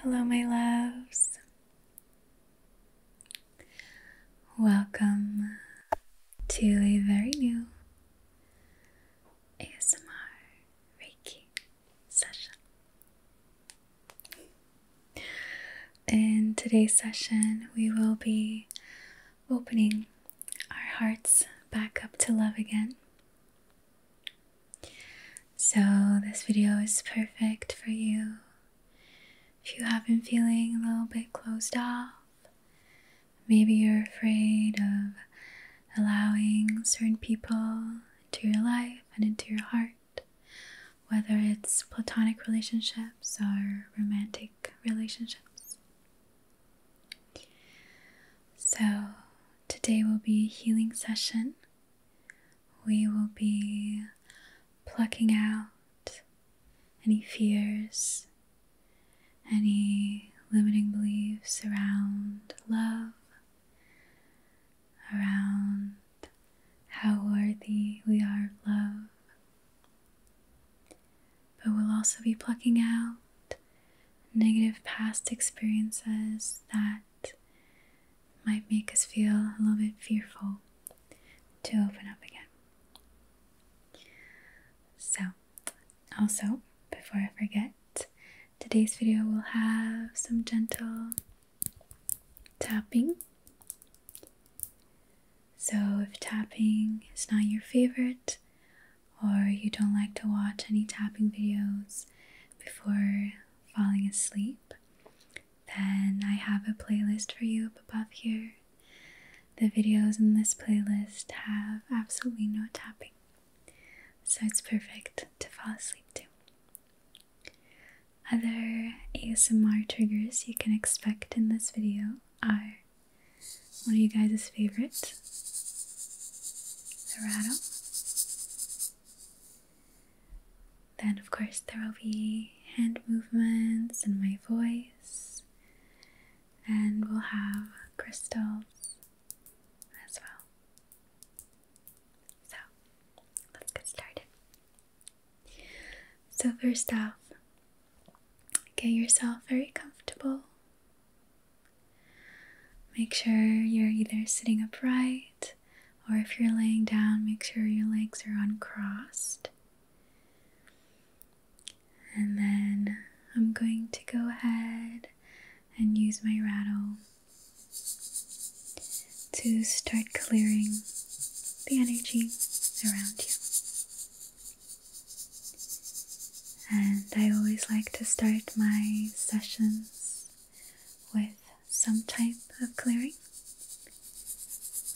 Hello, my loves. Welcome to a very new ASMR Reiki session. In today's session, we will be opening our hearts back up to love again so, this video is perfect for you if you have been feeling a little bit closed off. Maybe you're afraid of allowing certain people into your life and into your heart, whether it's platonic relationships or romantic relationships. So, today will be a healing session we will be plucking out any fears, any limiting beliefs around love, around how worthy we are of love. But we'll also be plucking out negative past experiences that might make us feel a little bit fearful to open up again. So, also, before I forget, today's video will have some gentle tapping. So, if tapping is not your favorite, or you don't like to watch any tapping videos before falling asleep, then I have a playlist for you up above here. The videos in this playlist have absolutely no tapping, so it's perfect to fall asleep to. Other ASMR triggers you can expect in this video are one of you guys' favorite, the rattle, then, of course, there will be hand movements and my voice, and we'll have crystals as well. So, let's get started. So, first off, get yourself very comfortable. Make sure you're either sitting upright or if you're laying down, make sure your legs are uncrossed. And then I'm going to go ahead and use my rattle to start clearing the energy around you. And I always like to start my sessions with some type of clearing,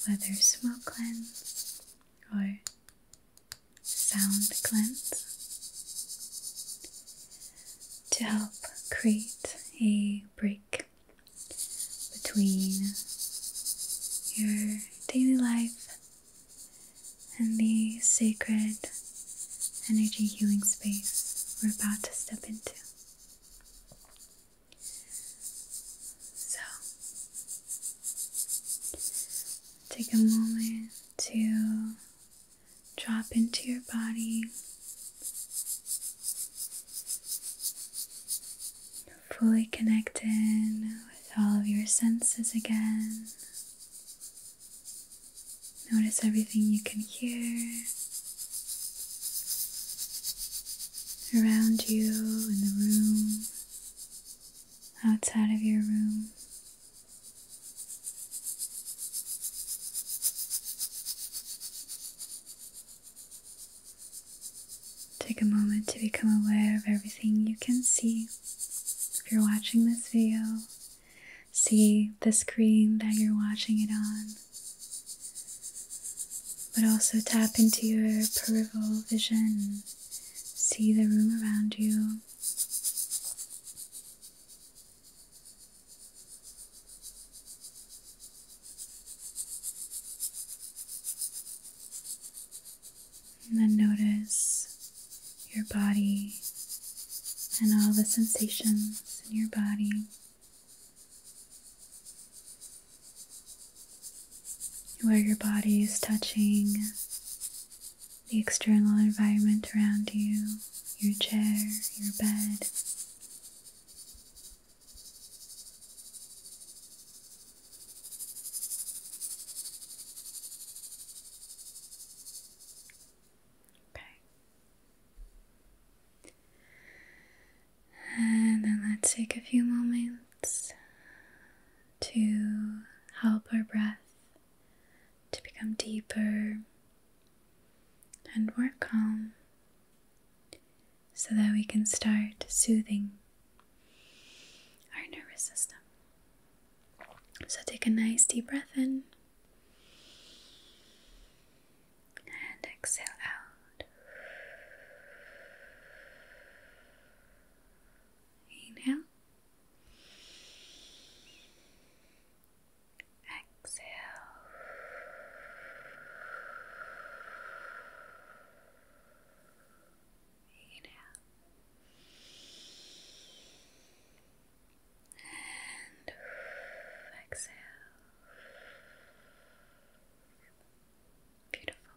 whether smoke cleanse or sound cleanse, to help create a break between your daily life and the sacred energy healing space we're about to step into. So, take a moment to drop into your body, fully connected with all of your senses again. Notice everything you can hear around you, in the room, outside of your room. Take a moment to become aware of everything you can see. If you're watching this video, see the screen that you're watching it on, but also tap into your peripheral vision, see the room around you. And then notice your body and all the sensations in your body. Where your body is touching the external environment around you, your chair, your bed. Okay. And then let's take a few moments to help our breath to become deeper and more calm so that we can start soothing our nervous system. So take a nice deep breath in and exhale out. Inhale. Exhale. Inhale and exhale. Beautiful.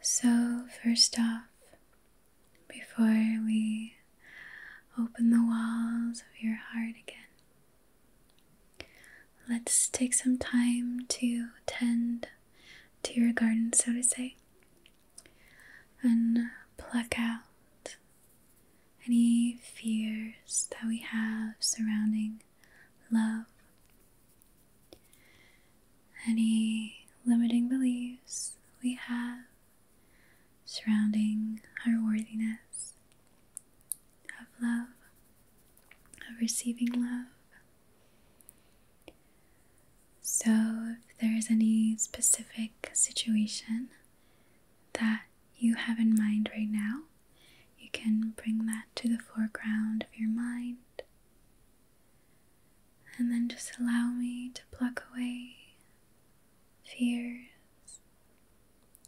So, first off, before we open the walls of your heart again, let's take some time to tend to your garden, so to say and pluck out any fears that we have surrounding love, any limiting beliefs we have surrounding our worthiness of love, of receiving love. So, if there is any specific situation that you have in mind right now, you can bring that to the foreground of your mind. And then just allow me to pluck away fears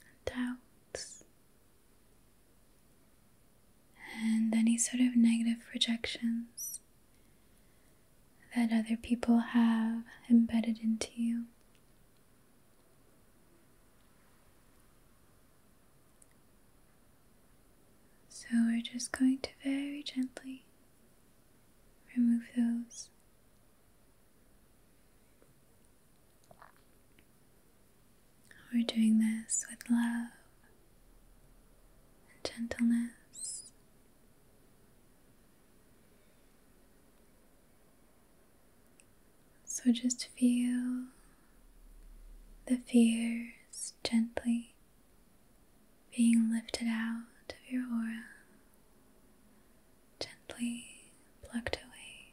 and doubts and any sort of negative projections that other people have embedded into you. So we're just going to very gently remove those. We're doing this with love and gentleness so just feel the fears gently being lifted out of your aura, gently plucked away.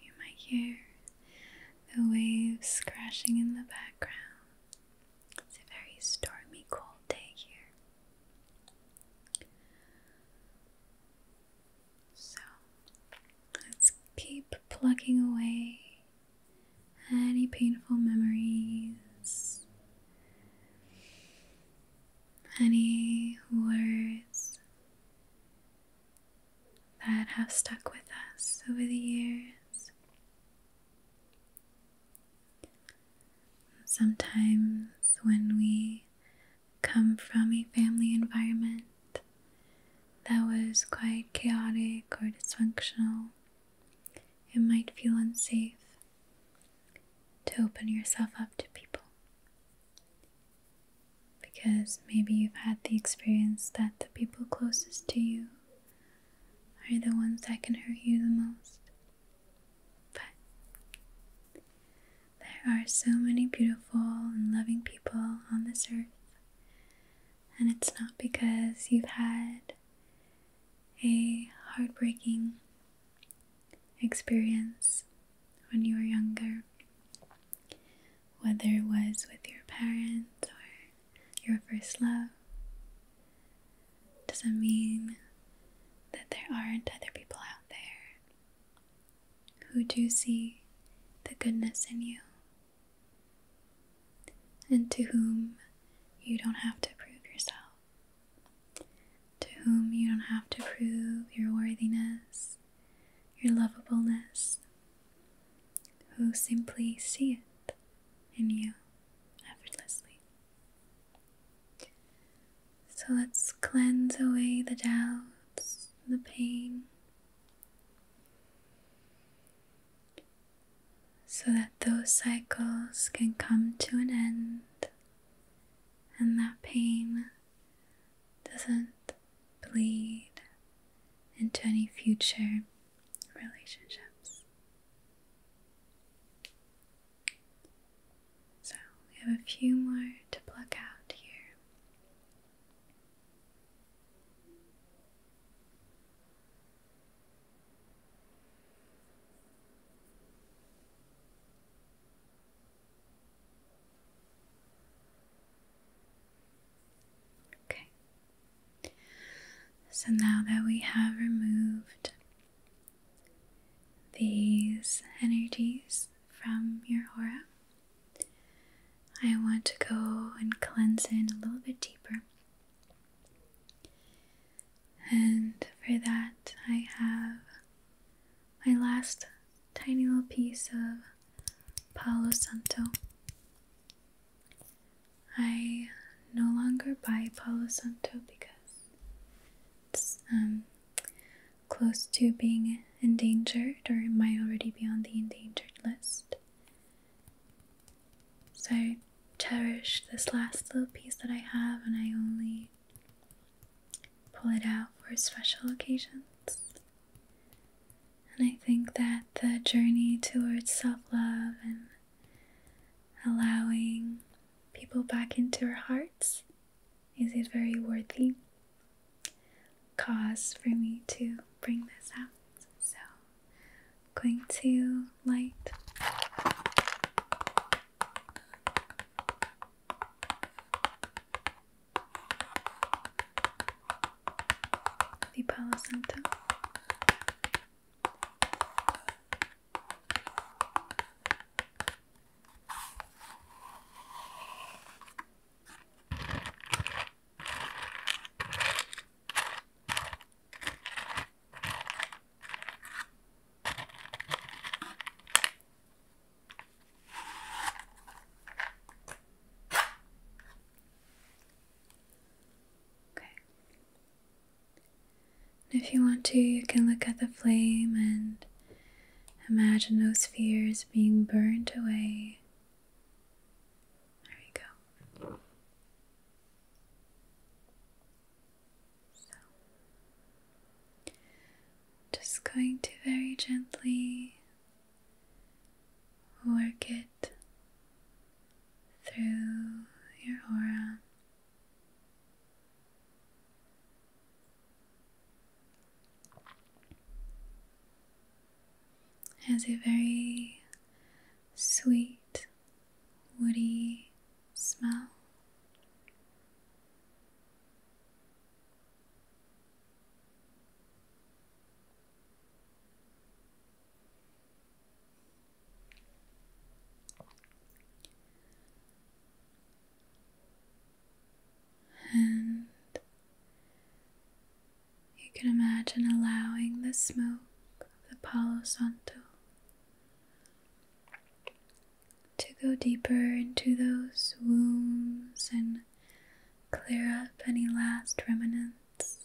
You might hear the waves crashing in the background. It's a very stormy, cold day here. So let's keep plugging away any painful memories any words that have stuck with us over the years. Sometimes, when we come from a family environment that was quite chaotic or dysfunctional, it might feel unsafe to open yourself up to people. Because maybe you've had the experience that the people closest to you are the ones that can hurt you the most. But there are so many beautiful and loving people on this earth, and it's not because you've had a heartbreaking experience when you were younger, whether it was with your parents or your first love, doesn't mean that there aren't other people out there who do see the goodness in you and to whom you don't have to prove yourself to whom you don't have to prove your worthiness, your lovableness, who simply see it in you effortlessly. So let's cleanse away the doubts, the pain, so that those cycles can come to an end and that pain doesn't bleed into any future relationships. So we have a few more to pluck out here. Okay. So now that we have removed these energies from your aura, I want to go and cleanse in a little bit deeper. And for that, I have my last tiny little piece of Palo Santo. I no longer buy Palo Santo because it's um, close to being endangered or it might already be on the endangered list. So I cherish this last little piece that I have and I only pull it out for special occasions. And I think that the journey towards self love and allowing people back into our hearts is a very worthy cause for me to bring this out. So I'm going to light the placenta. Okay. if you want to, you can look at the flame and imagine those fears being burnt away. There you go just going to very gently work it through your aura. Has a very sweet, woody smell. And you can imagine allowing the smoke of the Palo Santo to go deeper into those wounds and clear up any last remnants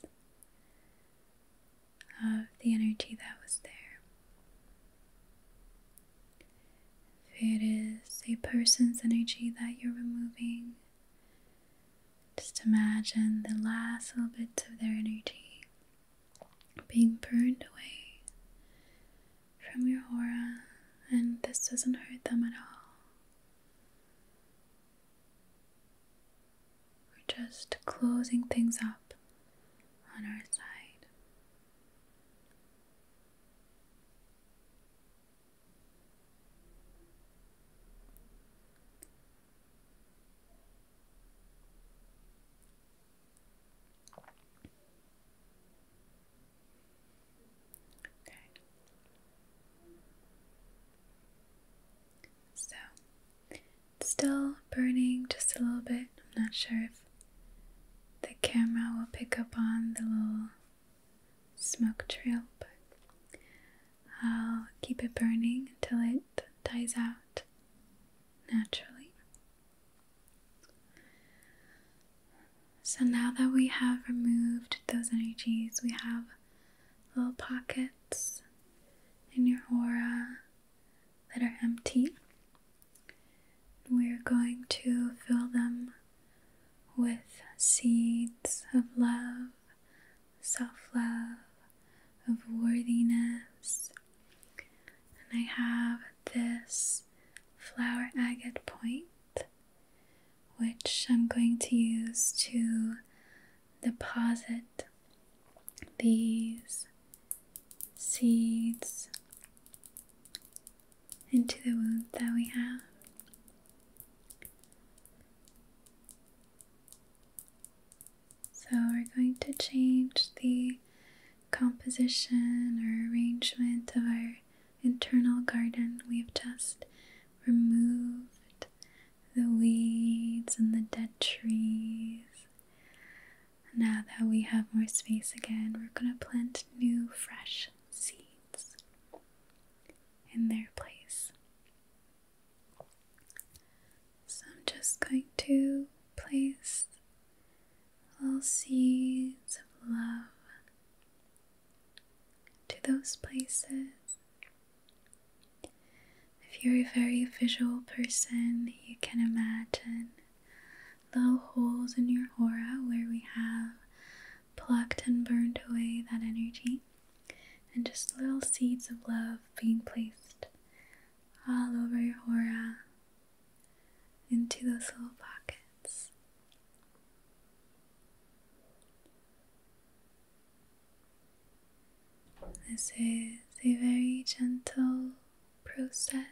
of the energy that was there. If it is a person's energy that you're removing, just imagine the last little bits of their energy being burned away from your aura, and this doesn't hurt them at all. We're just closing things up on our side. So, still burning just a little bit. I'm not sure if the camera will pick up on the little smoke trail, but I'll keep it burning until it dies out naturally. So now that we have removed those energies, we have little pockets in your aura that are empty. We're going to fill them with seeds of love, self love, of worthiness. And I have this flower agate point, which I'm going to use to deposit these seeds into the wound that we have. So, we're going to change the composition or arrangement of our internal garden, we've just removed the weeds and the dead trees. Now that we have more space again, we're going to plant new, fresh seeds in their place. So I'm just going to place Little seeds of love to those places. If you're a very visual person, you can imagine little holes in your aura where we have plucked and burned away that energy, and just little seeds of love being placed all over your aura, into those little pockets. This is a very gentle process.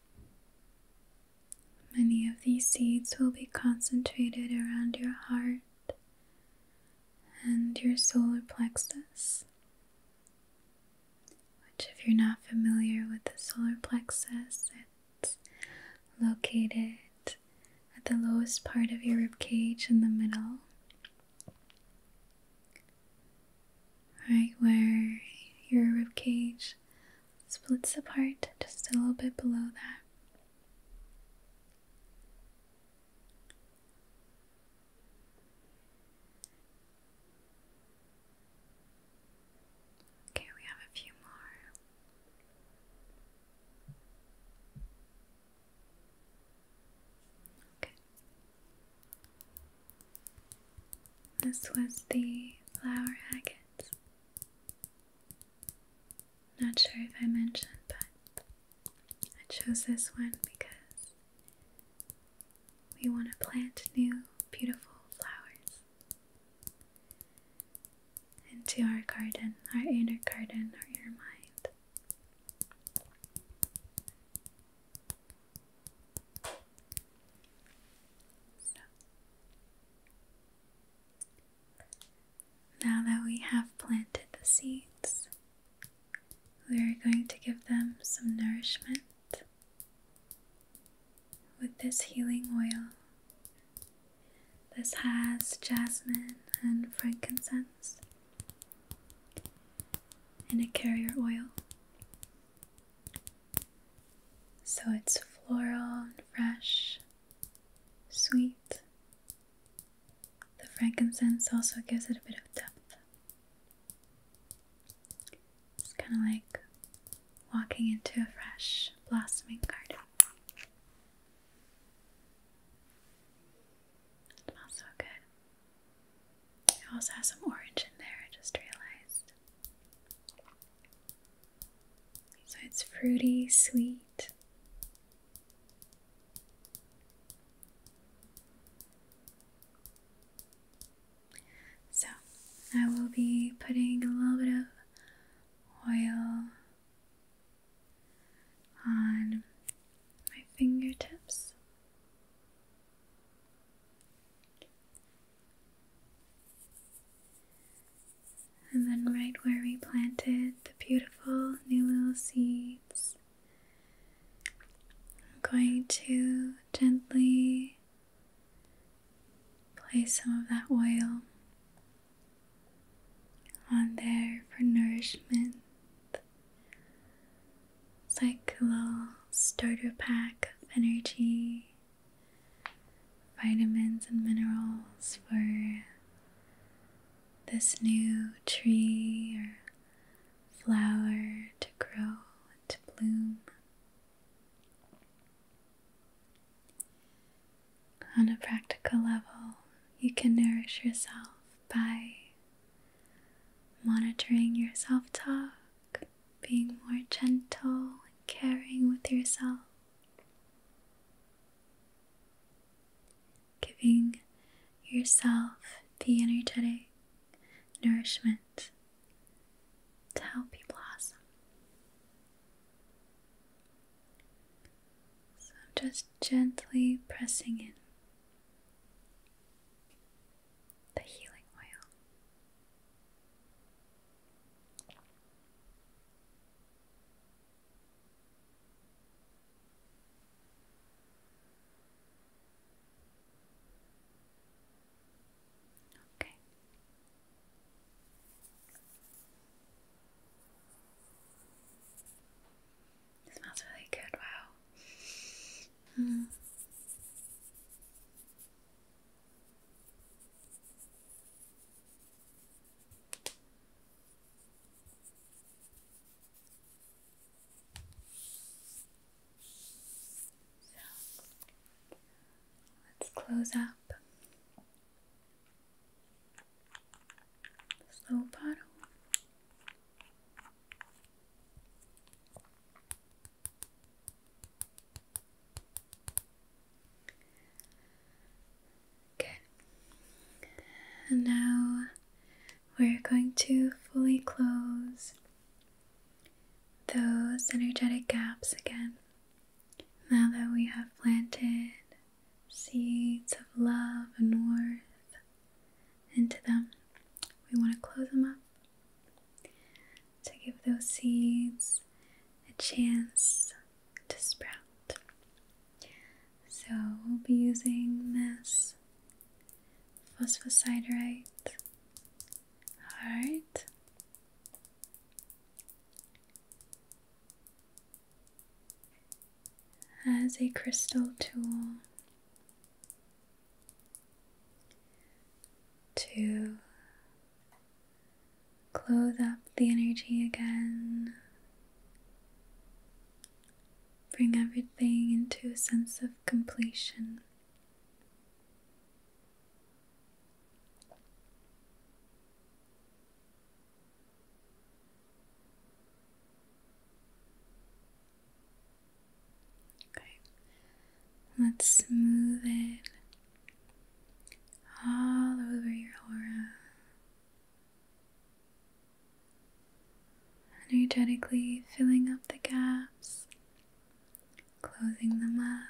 Many of these seeds will be concentrated around your heart and your solar plexus. Which, if you're not familiar with the solar plexus, it's located at the lowest part of your rib cage in the middle, right where your rib cage splits apart just a little bit below that. Okay, we have a few more. Okay. This was the flower not sure if I mentioned, but I chose this one because we want to plant new beautiful flowers into our garden, our inner garden, or your mind. Now that we have planted the seeds, we are going to give them some nourishment with this healing oil. This has jasmine and frankincense in a carrier oil. So it's floral and fresh, sweet. The frankincense also gives it a bit of depth. It's kind of like walking into a fresh, blossoming garden. It smells so good. It also has some orange in there, I just realized. So it's fruity, sweet. So I will be putting a little bit of oil on my fingertips. And then, right where we planted the beautiful new little seeds, I'm going to gently place some of that oil on there for nourishment. It's like little starter pack of energy vitamins and minerals for this new tree or flower to grow, to bloom. On a practical level, you can nourish yourself by monitoring your self talk being more gentle and caring with yourself, giving yourself the energetic nourishment to help you blossom. So I'm just gently pressing in the healing oil. Okay. It smells really good, wow. Mm. So let's close up this bottle. Good. And now we're going to fully close those energetic gaps again. Now that we have planted seeds of love and worth into them, we want to close them up to give those seeds a chance to sprout. So we'll be using this phosphosiderite heart. As a crystal tool to Clothe up the energy again. Bring everything into a sense of completion let's smooth it all over your aura. Energetically filling up the gaps, closing them up.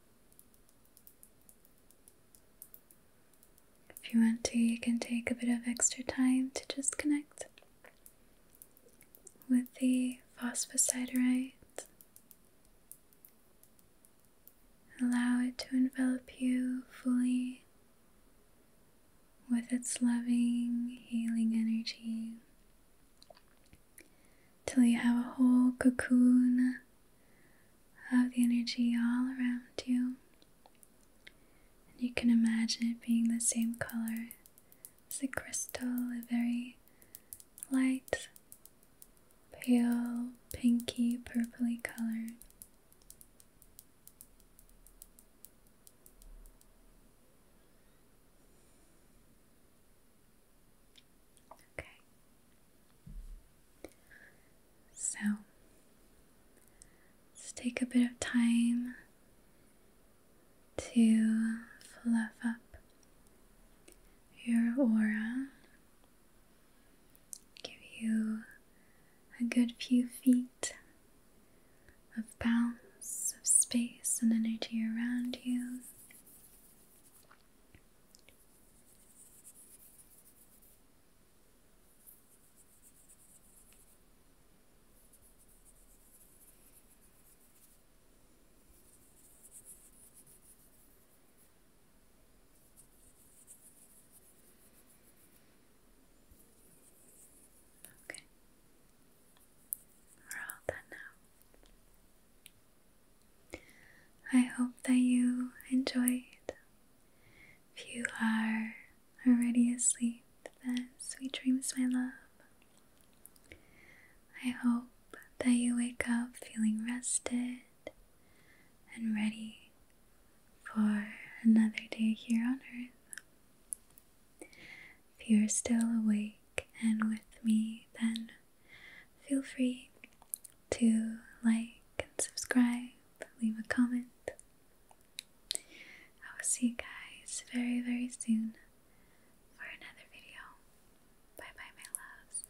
If you want to, you can take a bit of extra time to just connect with the phosphosiderite. Allow it to envelop you fully with its loving, healing energy till you have a whole cocoon of the energy all around you. And you can imagine it being the same color as the crystal, a very light, pale, pinky, purpley color. Okay. So let's take a bit of time to fluff up your aura, give you a good few feet of bounce of space and energy around you. Okay. We're now. I hope that you enjoyed. If you are already asleep, then sweet dreams, my love. I hope that you wake up feeling rested and ready for another day here on earth. If you are still awake and with me, then Feel free to like and subscribe, leave a comment. I will see you guys very, very soon for another video. Bye bye, my loves.